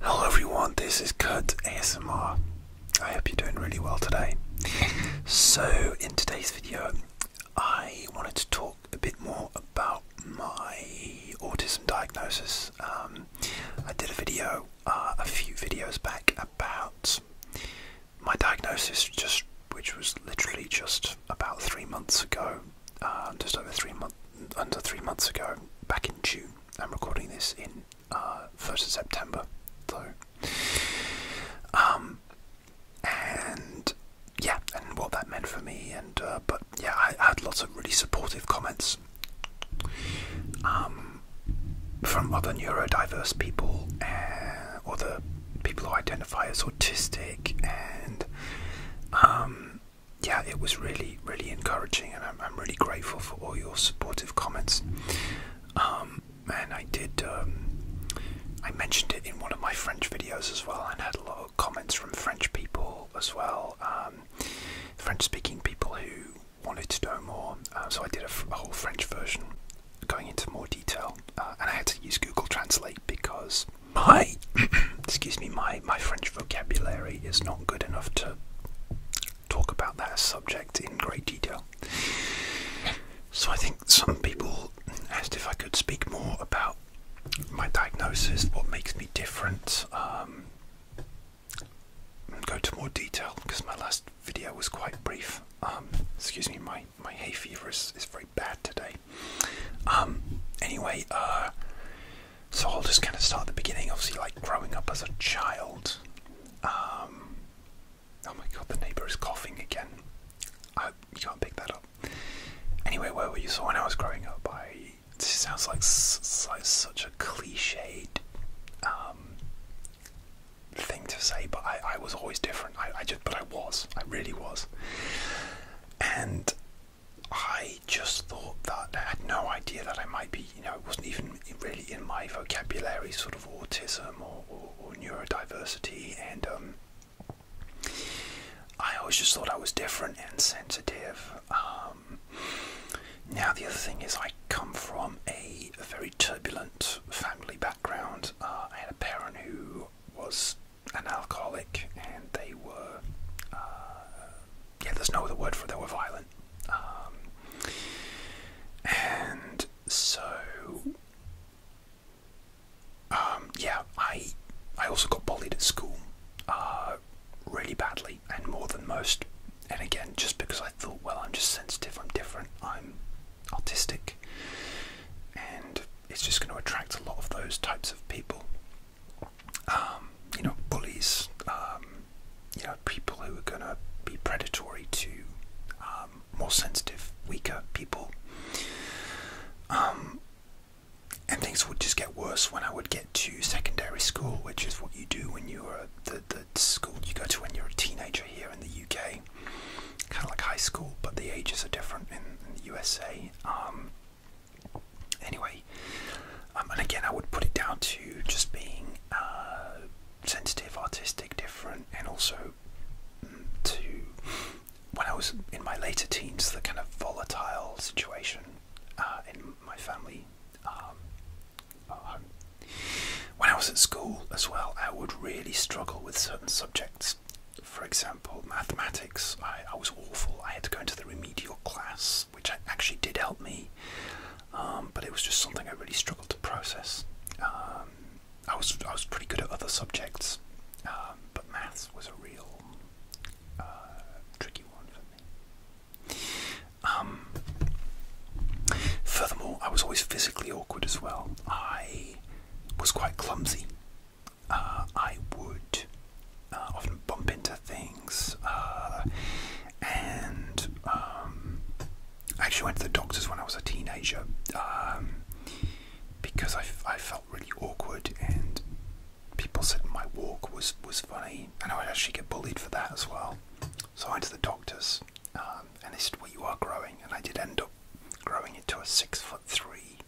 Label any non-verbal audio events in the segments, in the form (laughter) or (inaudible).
Hello everyone, this is Kurt ASMR. I hope you're doing really well today. So, in today's video, I wanted to talk a bit more about my autism diagnosis. Um, I did a video uh, a few videos back about my diagnosis, just which was literally just about three months ago, uh, just over three months, under three months ago, back in June. I'm recording this in 1st uh, of September, so. Um, and yeah, and what that meant for me, and uh, but yeah, I, had lots of really supportive comments um, from other neurodiverse people, or the people who identify as autistic, and um, yeah, it was really, really encouraging, and I'm, really grateful for all your supportive comments. Um, and I did, um, I mentioned it in one of my French videos as well, and had a lot of comments from French people as well, um, French-speaking people who wanted to know more. Uh, so I did a, whole French version going into more detail, uh, and I had to use Google Translate because my (coughs) excuse me my my, French vocabulary is not good enough to talk about that subject in great detail. So I think some people asked if I could speak more about my diagnosis, what makes me different, um, go to more detail because my last video was quite brief. Um, excuse me, my, my hay fever is, is very bad today. Um, anyway, uh, so I'll just kind of start at the beginning. Obviously, like growing up as a child. Um, oh my god, the neighbour is coughing again. I, you can't pick that up. Anyway, where were you? So when I was growing up, I. This sounds like, such a cliched um, thing to say, but I, was always different. I just, but I was. I really was. And I just thought that I had no idea that I might be, you know, it wasn't even really in my vocabulary, sort of autism or, neurodiversity, and um, I always just thought I was different and sensitive. Um, now, the other thing is, I come from a, very turbulent family background. Uh, I had a parent who was an alcoholic, and they were. Uh, yeah, there's no other word for it. They were violent, um, and so um, yeah, I I also got bullied at school uh, really badly and more than most. And again, just because I thought, well, I'm just sensitive, I'm different, I'm autistic, and it's just going to attract a lot of those types of people. Um, you know, bullies, um, you know, people who are going to be predatory to um, more sensitive, weaker people. and things would just get worse when I would get to secondary school, which is what you do when you're the, the school you go to when you're a teenager here in the UK. Kind of like high school, but the ages are different in, the USA. Anyway, um, and again, I would put it down to just being uh, sensitive, artistic, different, and also mm, to when I was in my later teens, the kind of volatile situation uh, in my family. Um, when I was at school as well, I would really struggle with certain subjects. For example, mathematics, I, I was awful. I had to go into the remedial class which actually did help me. Um, but it was just something I really struggled to process. Um, I was I was pretty good at other subjects, um, but maths was a real uh, tricky one for me. furthermore, I was always physically awkward as well. I was quite clumsy. Uh, I would uh, often bump into things, uh, and um, I actually went to the doctors when I was a teenager um, because I, I felt really awkward, and people said my walk was was funny, and I actually get bullied for that as well. So I went to the doctors, um, and they said, "Well, you are growing," and I did end up growing into a six foot three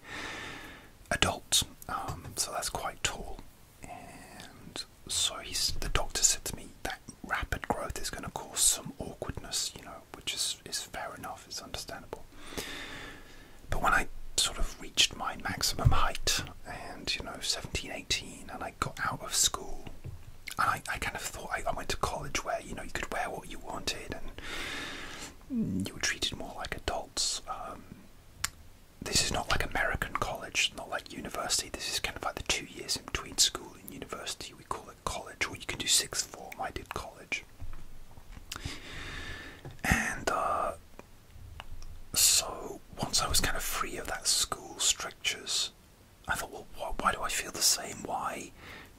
adult, so that's quite tall. And so he's, the doctor said to me that rapid growth is going to cause some awkwardness, you know, which is, is fair enough, it's understandable. But when I sort of reached my maximum height and, you know, 17, 18, and I got out of school, and I, I kind of thought I, I went to college where, you know, you could wear what you wanted and you were treated more like adults. Um, this is not like American college, not like university. This is kind of like the two years in between school and university. We call it college, or you can do sixth form. I did college, and uh, so once I was kind of free of that school strictures, I thought, well, why do I feel the same? Why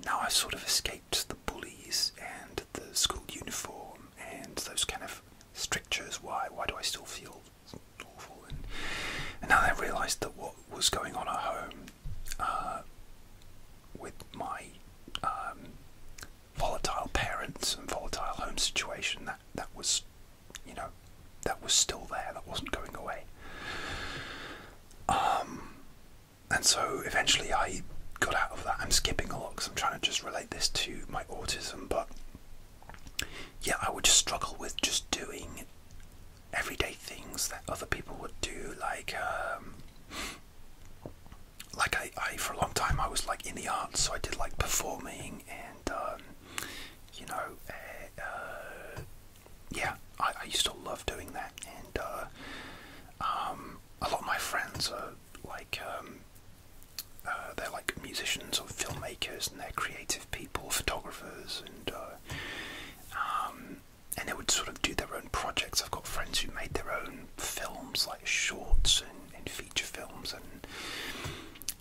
now I've sort of escaped the bullies and the school uniform and those kind of strictures. Why? Why do I still feel and, now I realised that what was going on at home uh, with my um, volatile parents and volatile home situation that that was, you know, that was still there. That wasn't going away. Um, and so eventually I got out of that. I'm skipping a lot because I'm trying to just relate this to my autism, but yeah, I would just struggle with just doing everyday things that other people would do, like, um, like I, I, for a long time, I was like in the arts, so I did like performing and, um, you know, eh, uh, yeah, I, I used to love doing that, and uh, um, a lot of my friends are like um, uh, they're like musicians or filmmakers, and they're creative people, photographers, and uh, um, and they would sort of do their own projects. I've got friends who made their own films, like shorts and, feature films, and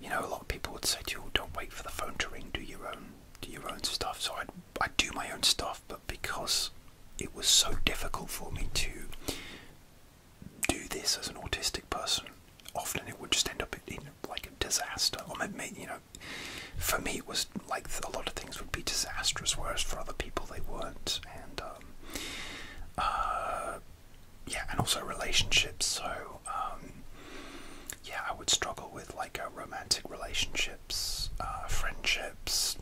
you know, a lot of people would say to you, "Don't wait for the phone to ring. Do your own, do your own stuff." So i i do my own stuff, but because it was so difficult for me to do this as an autistic person, often it would just end up in like a disaster. Or maybe, you know, for me it was like a lot of things would be disastrous, whereas for other people they weren't. And um, uh, yeah, and also relationships. So um, yeah, I would struggle with like uh, romantic relationships, uh, friendships.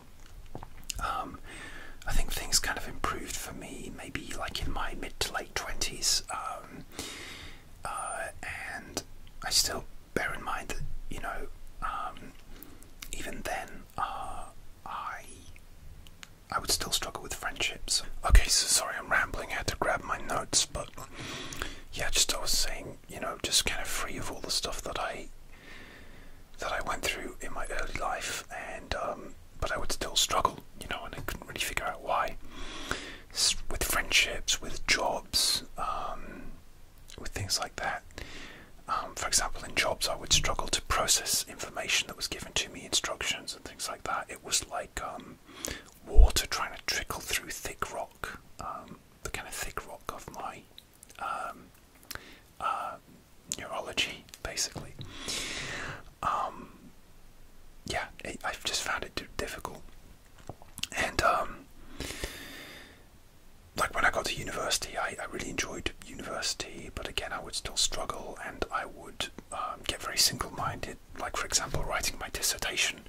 Um, I think things kind of improved for me maybe like in my mid to late 20s um, uh, and I still bear in mind that you know, um, even then, uh, I I would still struggle with friendships. Okay, so sorry I'm rambling. I had to grab my notes, but yeah, just I was saying, you know, just kind of free of all the stuff that I that I went through in my early life, and um, but I would still struggle, you know, and I couldn't really figure out why. with friendships, with jobs, um, with things like that. Um, for example, in jobs, I would struggle to process information that was given to me, instructions and things like that. It was like um, water trying to trickle through thick rock, the kind of thick rock of my uh, neurology, basically yeah, I've just found it too difficult. And um, like when I got to university, I, really enjoyed university, but again, I would still struggle, and I would um, get very single-minded. Like for example, writing my dissertation,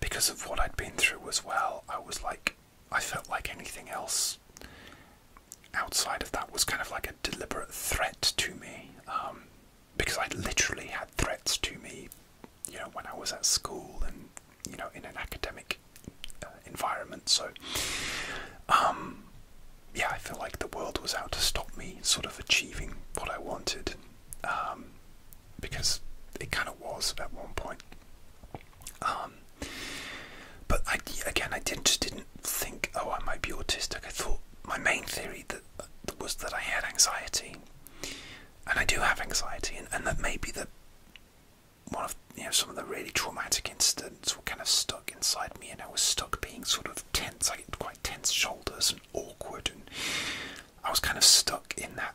because of what I'd been through as well. I was like, I felt like anything else outside of that was kind of like a deliberate threat to me. Um, because I literally had threats to me, you know, when I was at school and you know in an academic uh, environment. So, um, yeah, I feel like the world was out to stop me, sort of achieving what I wanted, um, because it kind of was at one point. Um, but I, again, I did, just didn't think, oh, I might be autistic. I thought my main theory that was that I had anxiety, and I do have anxiety, and, and that maybe that one of you know some of the really traumatic incidents were kind of stuck inside me, and I was stuck being sort of tense. I had quite tense shoulders and awkward, and I was kind of stuck in that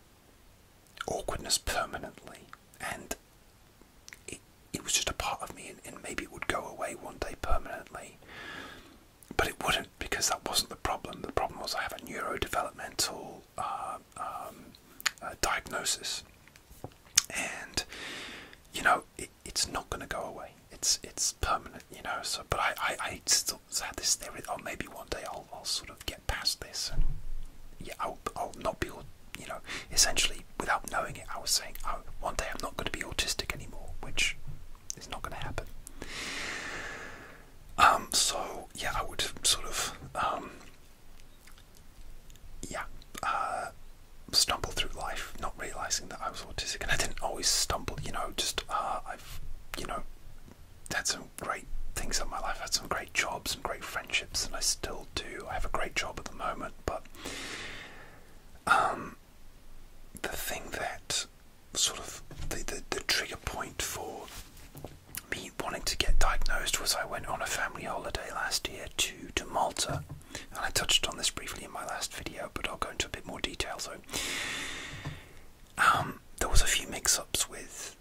awkwardness permanently, and it was just a part of me, and maybe it would go away one day permanently but it wouldn't because that wasn't the problem. The problem was I have a neurodevelopmental uh, um, uh, diagnosis, and you know it's not going to go away. It's it's permanent, you know. So, but I I, still had this theory. Oh, maybe one day I'll I'll sort of get past this, and yeah, I'll I'll not be you know essentially without knowing it. I was saying, oh, one day I'm not going to be autistic anymore, which it's not going to happen. Um, so yeah, I would sort of um, yeah uh, stumble through life, not realizing that I was autistic, and I didn't always stumble. You know, just uh, I've you know had some great things in my life. had some great jobs, some great friendships, and I still do. I have a great job at the moment, but um, the thing that sort of the, the, trigger point for me wanting to get diagnosed was I went on a family holiday last year to, to Malta. And I touched on this briefly in my last video, but I'll go into a bit more detail. So um, there was a few mix-ups with,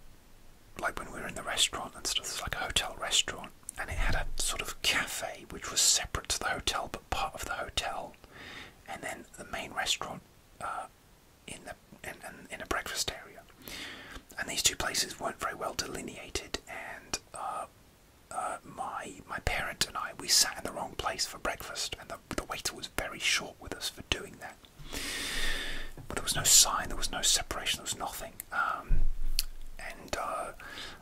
like when we were in the restaurant and stuff. It's like a hotel restaurant, and it had a sort of cafe which was separate to the hotel, but part of the hotel and then the main restaurant uh, in the in, a breakfast area. And these two places weren't very well delineated, and uh, uh, my my parent and I we sat in the wrong place for breakfast, and the, the waiter was very short with us for doing that. But there was no sign, there was no separation, there was nothing. Um, and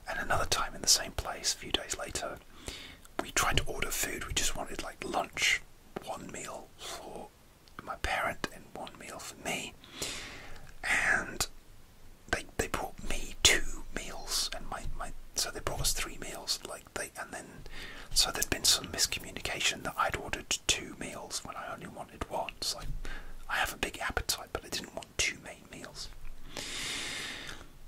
and another time in the same place, a few days later, we tried to order food. We just wanted like lunch, one meal for my parent and one meal for me. And they they brought me two meals and my my so they brought us three meals like they and then so there'd been some miscommunication that I'd ordered two meals when I only wanted one. So I have a big appetite, but I didn't want two main meals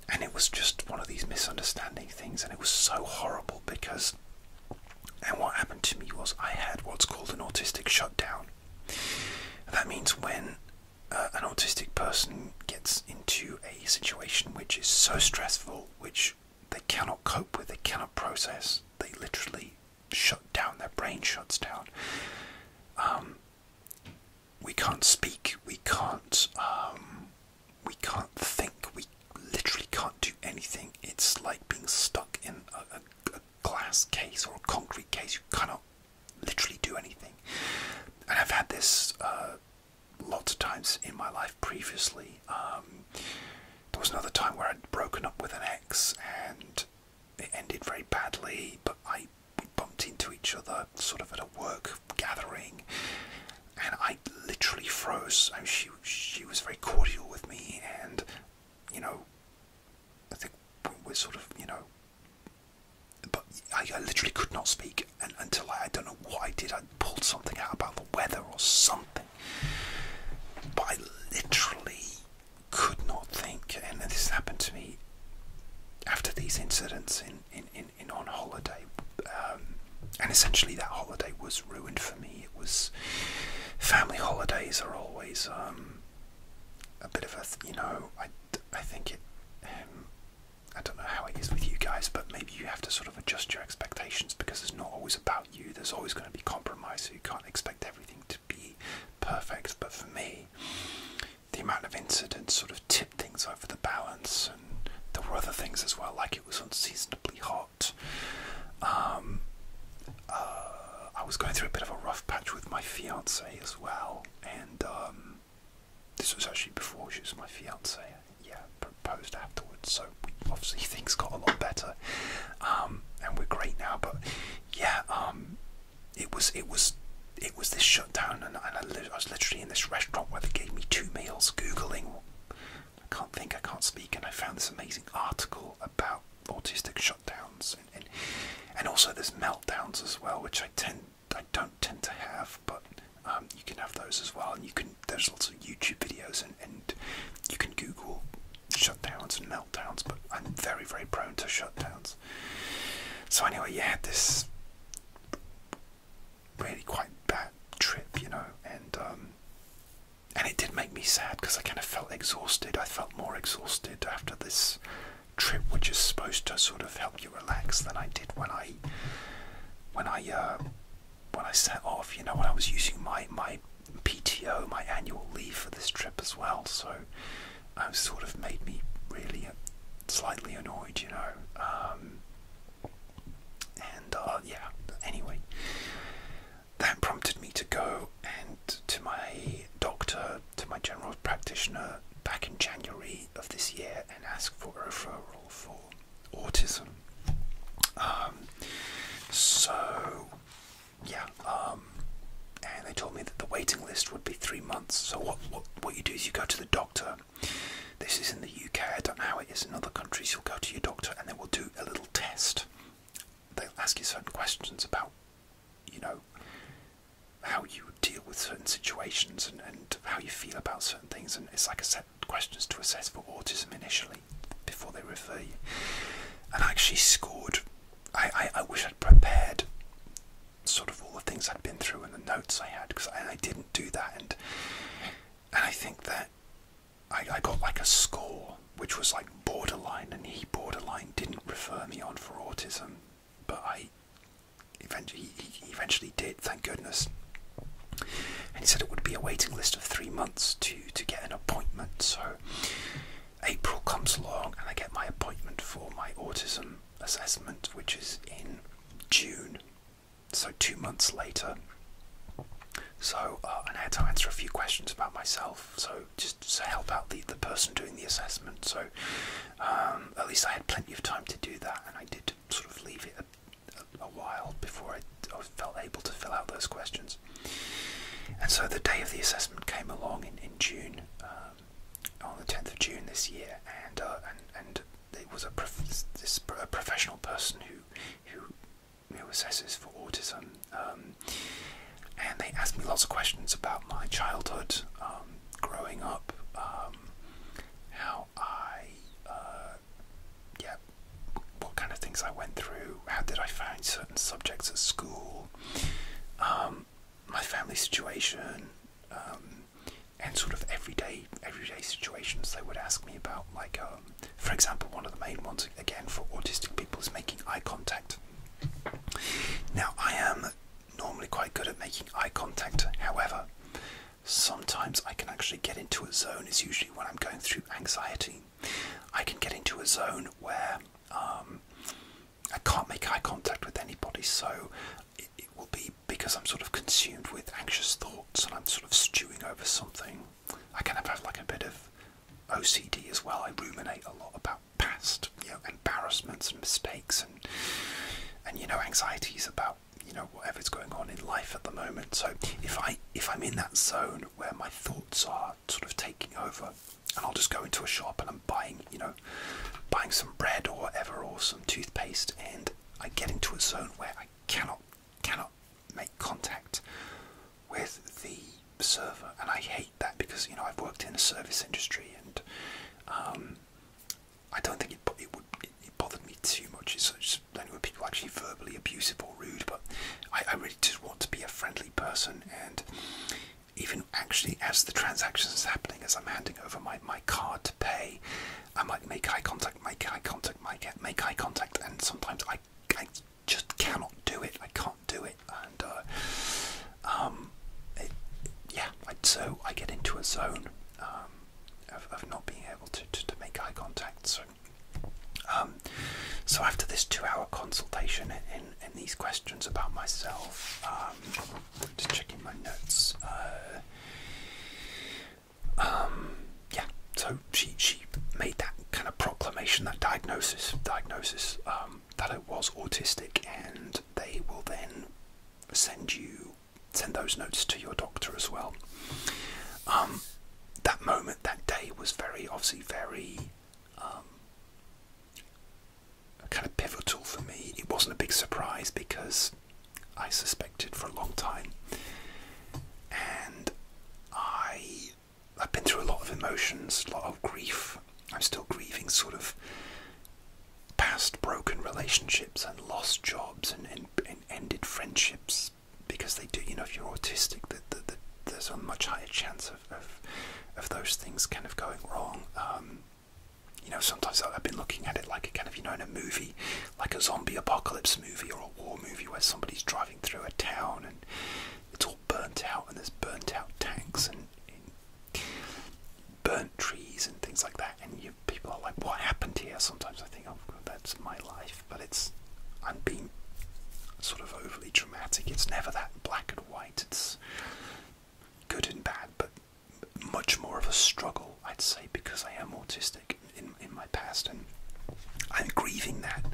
and it was just one of these misunderstanding things, and it was so horrible because. And what happened to me was I had what's called an autistic shutdown. That means when uh, an autistic person gets into a situation which is so stressful, which they cannot cope with, they cannot process, they literally shut down, their brain shuts down. Um, we can't speak, we can't, um, we can't think, we literally can't do anything. It's like being stuck in a, glass case or a concrete case. You cannot literally do anything. And I've had this uh, lots of times in my life previously. Um, there was another time where I'd broken up with an ex and it ended very badly, but I we bumped into each other sort of at a work gathering and I literally froze. I she she was very cordial with me, and you know, I think we're sort of you know, but I, I literally could not speak and, until I, don't know what I did. I pulled something out about the weather or something, but I literally could not think. And this happened to me after these incidents in in in, on holiday, um, and essentially that holiday was ruined for me. It was family holidays are always um, a bit of a you know I I think it. Um, I don't know how it is with you guys, but maybe you have to sort of adjust your expectations because it's not always about you. There's always going to be compromise, so you can't expect everything to be perfect. But for me, the amount of incidents sort of tipped things over the balance, and there were other things as well, like it was unseasonably hot. Um, uh, I was going through a bit of a rough patch with my fiance as well, and um, this was actually before she was my fiance. Yeah, proposed afterwards, so obviously things got a lot better, um, and we're great now. But yeah, it was it was it was this shutdown, and, I, was literally in this restaurant where they gave me two meals, googling. I can't think, I can't speak, and I found this amazing article about autistic shutdowns, and also there's meltdowns as well, which I tend I don't tend to have, but um, you can have those as well, and you can there's lots of YouTube videos, and you can Google shutdowns and meltdowns, but I'm very very prone to shutdowns. So anyway, you had this really quite bad trip, you know, and um, and it did make me sad because I kind of felt exhausted. I felt more exhausted after this trip, which is supposed to sort of help you relax, than I did when I when I uh, when I set off. You know, when I was using my my PTO, my annual leave for this trip as well. So, it um, sort of made me really slightly annoyed, you know. Um, and uh, yeah, anyway, that prompted me to go and to my doctor, to my general practitioner back in January of this year and ask for a referral for autism. Um, so, yeah, um, and they told me that the waiting list would be three months. So what, what what you do is you go to the doctor, this is in the UK, I don't know how it is in other countries. You'll go to your doctor and they will do a little test. They'll ask you certain questions about, you know, how you deal with certain situations and, how you feel about certain things. And it's like a set of questions to assess for autism initially before they refer you. And I actually scored. I, I, wish I'd prepared sort of all the things I'd been through and the notes I had because I, didn't do that, and I think that I, I got like a score which was like borderline, and he borderline didn't refer me on for autism, but I eventually he eventually did, thank goodness. And he said it would be a waiting list of three months to to get an appointment. So April comes along, and I get my appointment for my autism assessment, which is in June so two months later. So, uh, and I had to answer a few questions about myself, so just to help out the, the person doing the assessment. So, um, at least I had plenty of time to do that, and I did sort of leave it a, while before I, felt able to fill out those questions. And so the day of the assessment came along in, in June, um, on the 10th of June this year, and, uh, and, and it was a, professional person who, who, who assesses for autism, um, and they asked me lots of questions about my childhood, um, growing up, um, how I, uh, yeah, what kind of things I went through, how did I find certain subjects at school, my family situation, um, and sort of everyday everyday situations they would ask me about. Like, um, for example, one of the main ones again for autistic people is making eye contact. Now, I am normally quite good at making eye contact. However, sometimes I can actually get into a zone. It's usually when I'm going through anxiety. I can get into a zone where um, I can't make eye contact with anybody, so it will be because I'm sort of consumed with anxious thoughts and I'm sort of stewing over something, I kind of have like a bit of OCD as well. I ruminate a lot about past, you know, embarrassments and mistakes and and you know anxieties about you know whatever's going on in life at the moment. So if I if I'm in that zone where my thoughts are sort of taking over, and I'll just go into a shop and I'm buying you know buying some bread or ever or some toothpaste and I get into a zone where I cannot cannot make contact with the server, and I hate that because you know I've worked in the service industry, and um, I don't think it bothered me too much. It's just only when people are actually verbally abusive or rude, but I, I really just want to be a friendly person and. Even actually, as the transaction is happening, as I'm handing over my, my card to pay, I might make eye contact, make eye contact, make make eye contact, and sometimes I, I just cannot do it. I can't do it, and uh, um, yeah. so I get into a zone um, of, of not being able to, to, make eye contact. So, um, so after this two-hour consultation in, in these questions about myself, um, just checking my notes. Uh, um, yeah, so she she made that kind of proclamation, that diagnosis diagnosis um, that it was autistic, and they will then send you send those notes to your doctor as well. Um, that moment, that day was very obviously very. kind of pivotal for me. It wasn't a big surprise because I suspected for a long time. And I, I've been through a lot of emotions, a lot of grief. I'm still grieving sort of past broken relationships and lost jobs and, ended friendships because they do, you know, if you're autistic, that there's a much higher chance of, of, those things kind of going wrong. Um, you know, sometimes I've been looking at it like a kind of, you know, in a movie, like a zombie apocalypse movie or a war movie where somebody's driving through a town and it's all burnt out and there's burnt out tanks and, burnt trees and things like that. And you, people are like, what happened here? Sometimes I think, oh, that's my life. But it's, I'm being sort of overly dramatic. It's never that black and white. It's good and bad, but much more of a struggle, I'd say, because I am autistic in, in my past and I'm grieving that.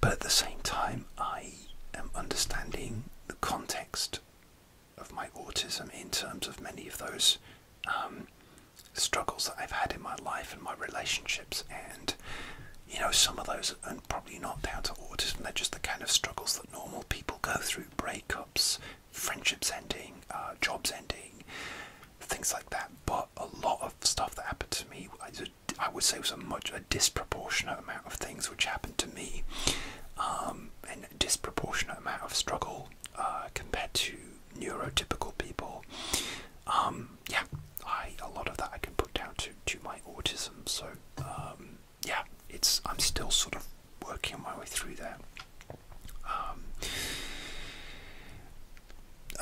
But at the same time, I am understanding the context of my autism in terms of many of those um, struggles that I've had in my life and my relationships. And, you know, some of those are probably not down to autism, they're just the kind of struggles that normal people go through breakups, friendships ending, uh, jobs ending, things like that. But a lot of stuff that happened to me, I, would say, was a much a disproportionate amount of things which happened to me, um, and a disproportionate amount of struggle uh, compared to neurotypical people. Um, yeah, I a lot of that I can put down to to my autism. So um, yeah, it's I'm still sort of working my way through that. Um,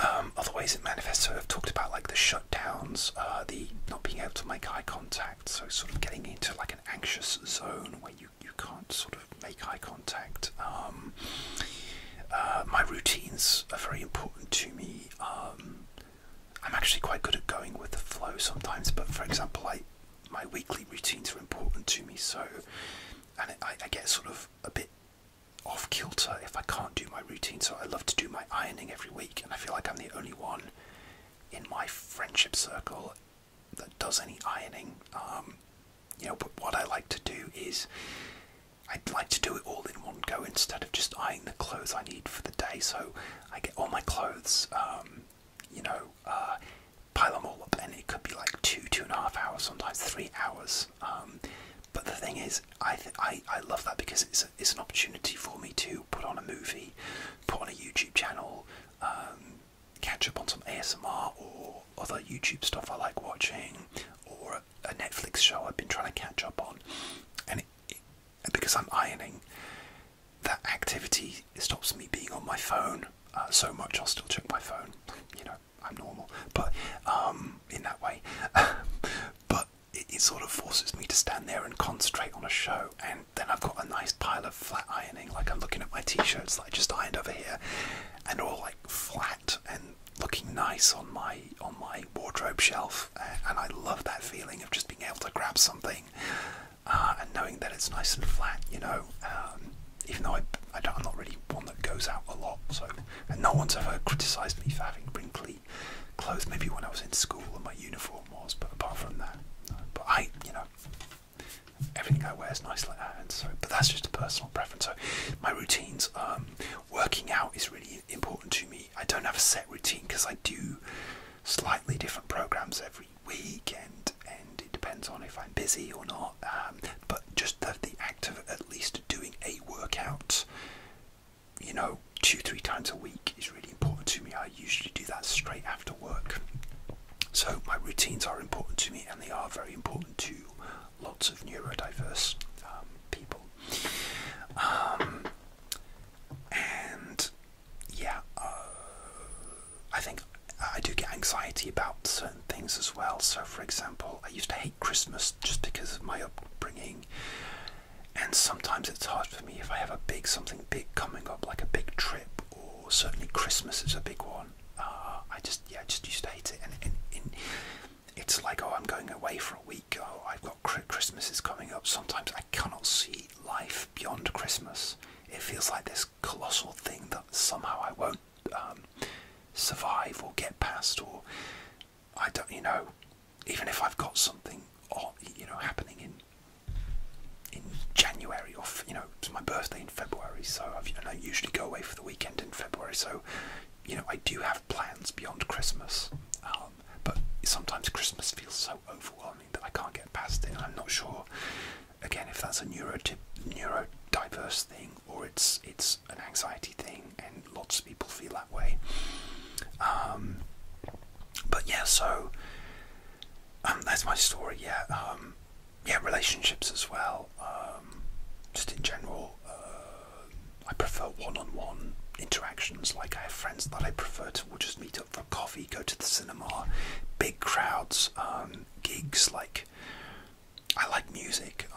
um, other ways it manifests, so I've talked about like the shutdowns, uh, the not being able to make eye contact, so sort of getting into like an anxious zone where you, you can't sort of make eye contact. Um, uh, my routines are very important to me. Um, I'm actually quite good at going with the flow sometimes, but for example, I, my weekly routines are important to me, so and I, get sort of a bit off kilter if I can't do my routine. So I love to do my ironing every week, and I feel like I'm the only one in my friendship circle that does any ironing. Um, you know, but what I like to do is I'd like to do it all in one go instead of just ironing the clothes I need for the day. So I get all my clothes, um, you know, uh, pile them all up, and it could be like two, two and a half hours, sometimes three hours. Um, but the thing is, I, I I love that because it's it's an opportunity for me to put on a movie, put on a YouTube channel, um, catch up on some ASMR or other YouTube stuff I like watching, or a Netflix show I've been trying to catch up on, and because I'm ironing, that activity it stops me being on my phone uh, so much. I'll still check my phone. You know, I'm normal, but um, in that way. (laughs) but it, sort of forces me to stand there and concentrate on a show, and then I've got a nice pile of flat ironing. Like I'm looking at my t-shirts that I just ironed over here, and all like flat and looking nice on my on my wardrobe shelf. And I love that feeling of just being able to grab something uh, and knowing that it's nice and flat. You know. Um, even though I, I am not really one that goes out a lot. So, and no one's ever criticised me for having wrinkly clothes. Maybe when I was in school and my uniform was, but apart from that, But I, you know, everything I wear is nice like that. And so, but that's just a personal preference. So, my routines, um, working out is really important to me. I don't have a set routine because I do slightly different programs every weekend, and it depends on if I'm busy or not. Um, but just the, act of at least doing a workout, you know, two, three times a week is really important to me. I usually do that straight after work. So my routines are important to me, and they are very important to lots of neurodiverse um, people. Um, and yeah, uh, I think I do get anxiety about certain things as well. So, for example, I used to hate Christmas just because of my upbringing, and sometimes it's hard for me if I have a big something big coming up, like a big trip, or certainly Christmas is a big one. Uh, I just yeah, I just used to hate it, and, and it's like oh, I'm going away for a week. Oh, I've got Christmas is coming up. Sometimes I cannot see life beyond Christmas. It feels like this colossal thing that somehow I won't um, survive or get past, or I don't, you know, even if I've got something, on, you know, happening in in January or you know, it's my birthday in February, so I've, and I usually go away for the weekend in February, so you know, I do have plans beyond Christmas, um, but sometimes Christmas feels so overwhelming that I can't get past it, and I'm not sure again, if that's a neurotip, neurodiverse thing or it's it's an anxiety thing, and lots of people feel that way. Um, but yeah, so um, that's my story. Yeah, um, yeah, relationships as well. just in general, uh, I prefer one-on-one interactions. Like I have friends that I prefer to just meet up for coffee, go to the cinema, big crowds, gigs like I like music.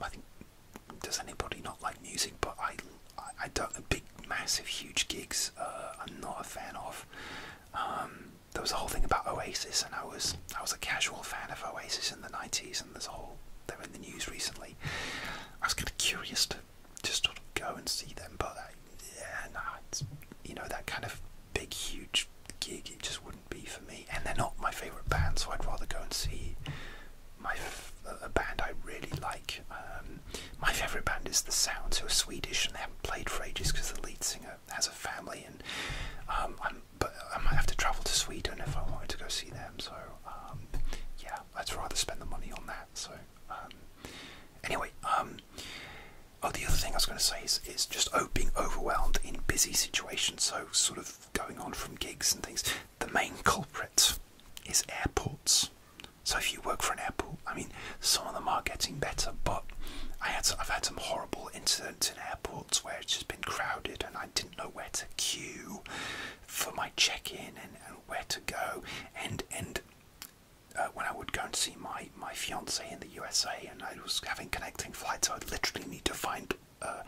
I, think does anybody not like music? But I, I, I don't. Big, massive, huge gigs. Uh, I'm not a fan of. Um, there was a whole thing about Oasis, and I was I was a casual fan of Oasis in the '90s, and there's a whole they are in the news recently. I was kind of curious to just sort of go and see them, but yeah, no, nah, you know that kind of big, huge gig, it just wouldn't be for me. And they're not my favourite band, so I'd rather go and see my a band I really like. Um, my favourite band is The Sounds, who are Swedish, and they haven't played for ages because the lead singer has a family. And um, I'm, but I might have to travel to Sweden if I wanted to go see them. So um, yeah, I'd rather spend the money on that. So anyway, Oh, the other thing I was going to say is, is just oh, being overwhelmed in busy situations, so sort of going on from gigs and things. The main culprit is airports. So if you work for an airport, I mean, some of them are getting better, but I had I've had some horrible incidents in airports where it's just been crowded and I didn't know where to queue for my check-in and, and where to go, and and uh, when I would go and see my my my fiance in the USA, and I was having connecting flights. So I would literally need to find uh,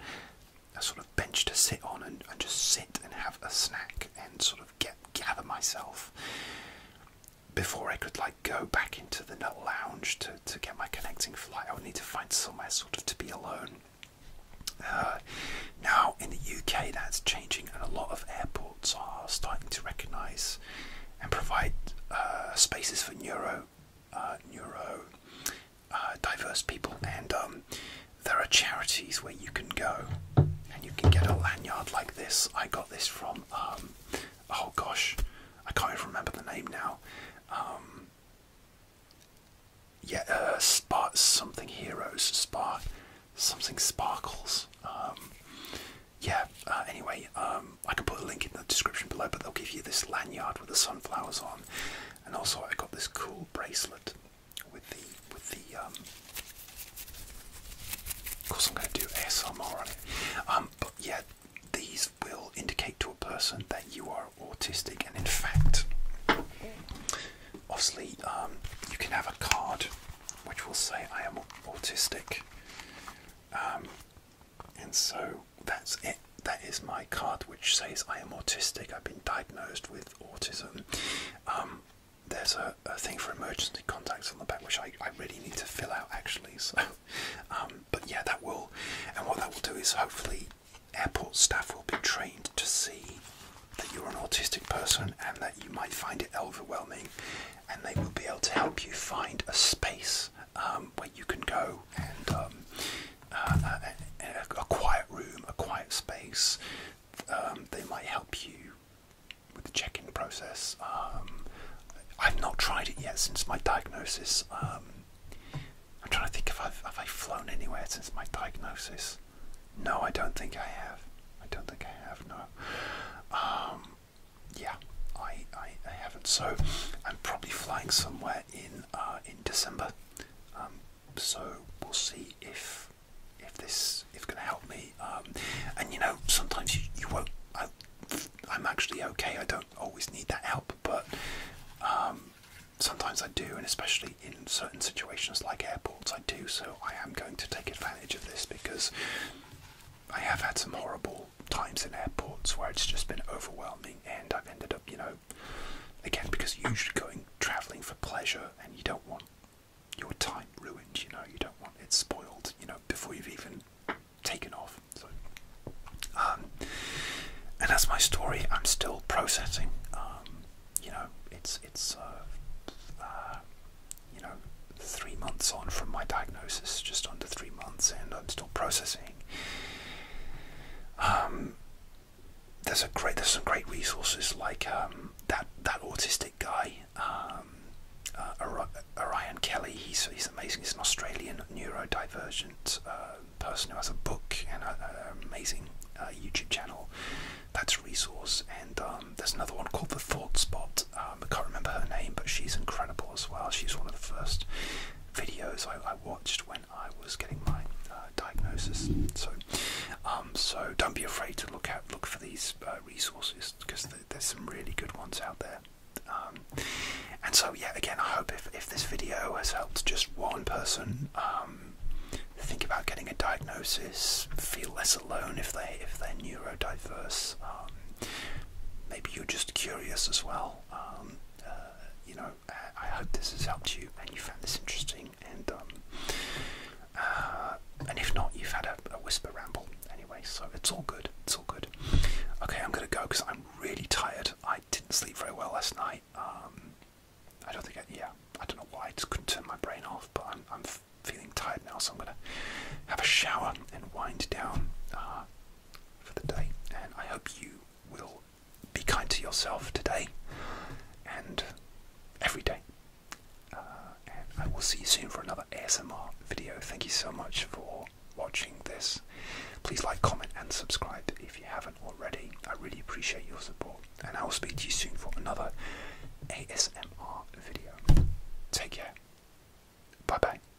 a sort of bench to sit on and, just sit and have a snack and sort of get gather myself before I could like go back into the lounge to to get my connecting flight. I would need to find somewhere sort of to be alone. Uh, now in the UK, that's changing, and a lot of airports are starting to recognise and provide uh, spaces for neuro uh, neuro uh, diverse people, and um, there are charities where you can go and you can get a lanyard like this. I got this from, um, oh gosh, I can't even remember the name now. Um, yeah, uh, Spark something heroes, Spark something sparkles. yeah, uh, anyway, um, I can put a link in the description below, but they'll give you this lanyard with the sunflowers on, and also I got this cool bracelet with the with the. Um, of course, I'm going to do ASMR on it, um, but yeah, these will indicate to a person that you are autistic, and in fact, obviously, you can have a card which will say I am autistic. And so that's it. That is my card which says I am autistic. I've been diagnosed with autism. Um, there's a, thing for emergency contacts on the back which I, really need to fill out actually. So, (laughs) um, but yeah, that will, and what that will do is hopefully airport staff will be trained to see that you're an autistic person and that you might find it overwhelming, and they will be able to help you find a space um, where you can go and um, uh, a, quiet room, a quiet space. Um, they might help you with the check-in process. I've not tried it yet since my diagnosis. I'm trying to think if I've have I flown anywhere since my diagnosis. No, I don't think I have. I don't think I have. No yeah, I, I, haven't. So I'm probably flying somewhere in uh, in December. Um, so we'll see if if this if going to help me. Um, and you know, sometimes you, you won't. I, I'm actually okay. I don't always need that help, but um, sometimes I do, and especially in certain situations like airports, I do. So I am going to take advantage of this because I have had some horrible times in airports where it's just been overwhelming, and I've ended up, you know, again because usually going traveling for pleasure, and you don't want your time ruined. You know, you don't want it spoiled. You know, before you've even taken off. So, um, and that's my story. I'm still processing. Um, you know, it's it's uh, uh, you know three months on from my diagnosis, just under three months, and I'm still processing um, there's a great, there's some great resources like um, that that autistic guy, um, Orion uh, Kelly. He's he's amazing. He's an Australian neurodivergent uh, person who has a book and an amazing uh, YouTube channel. That's a resource. And um, there's another one called the Thought Spot. I can't remember her name, but she's incredible as well. She's one of the first videos I, watched when I was getting my uh, diagnosis. So, um, so don't be afraid to look out, look for these uh, resources because there's some really good ones out there. Um, and so, yeah, again, I hope if if this video has helped just one person um, think about getting a diagnosis, feel less alone if they if they're neurodiverse. maybe you're just curious as well um, uh, you know, I, hope this has helped you and you found this interesting. And um, uh, and if not, you've had a, whisper ramble anyway. So it's all good. It's all good. Okay, I'm gonna go because I'm really tired. I didn't sleep very well last night. Um, I don't think. yeah, I don't know why. I just couldn't turn my brain off. But I'm feeling tired now, so I'm gonna have a shower and wind down. Uh, for the day, and I hope you will be kind to yourself today and every day. Uh, and I will see you soon for another ASMR video. Thank you so much for watching this. Please like, comment, and subscribe if you haven't already. I really appreciate your support, and I will speak to you soon for another ASMR video. Take care. Bye bye.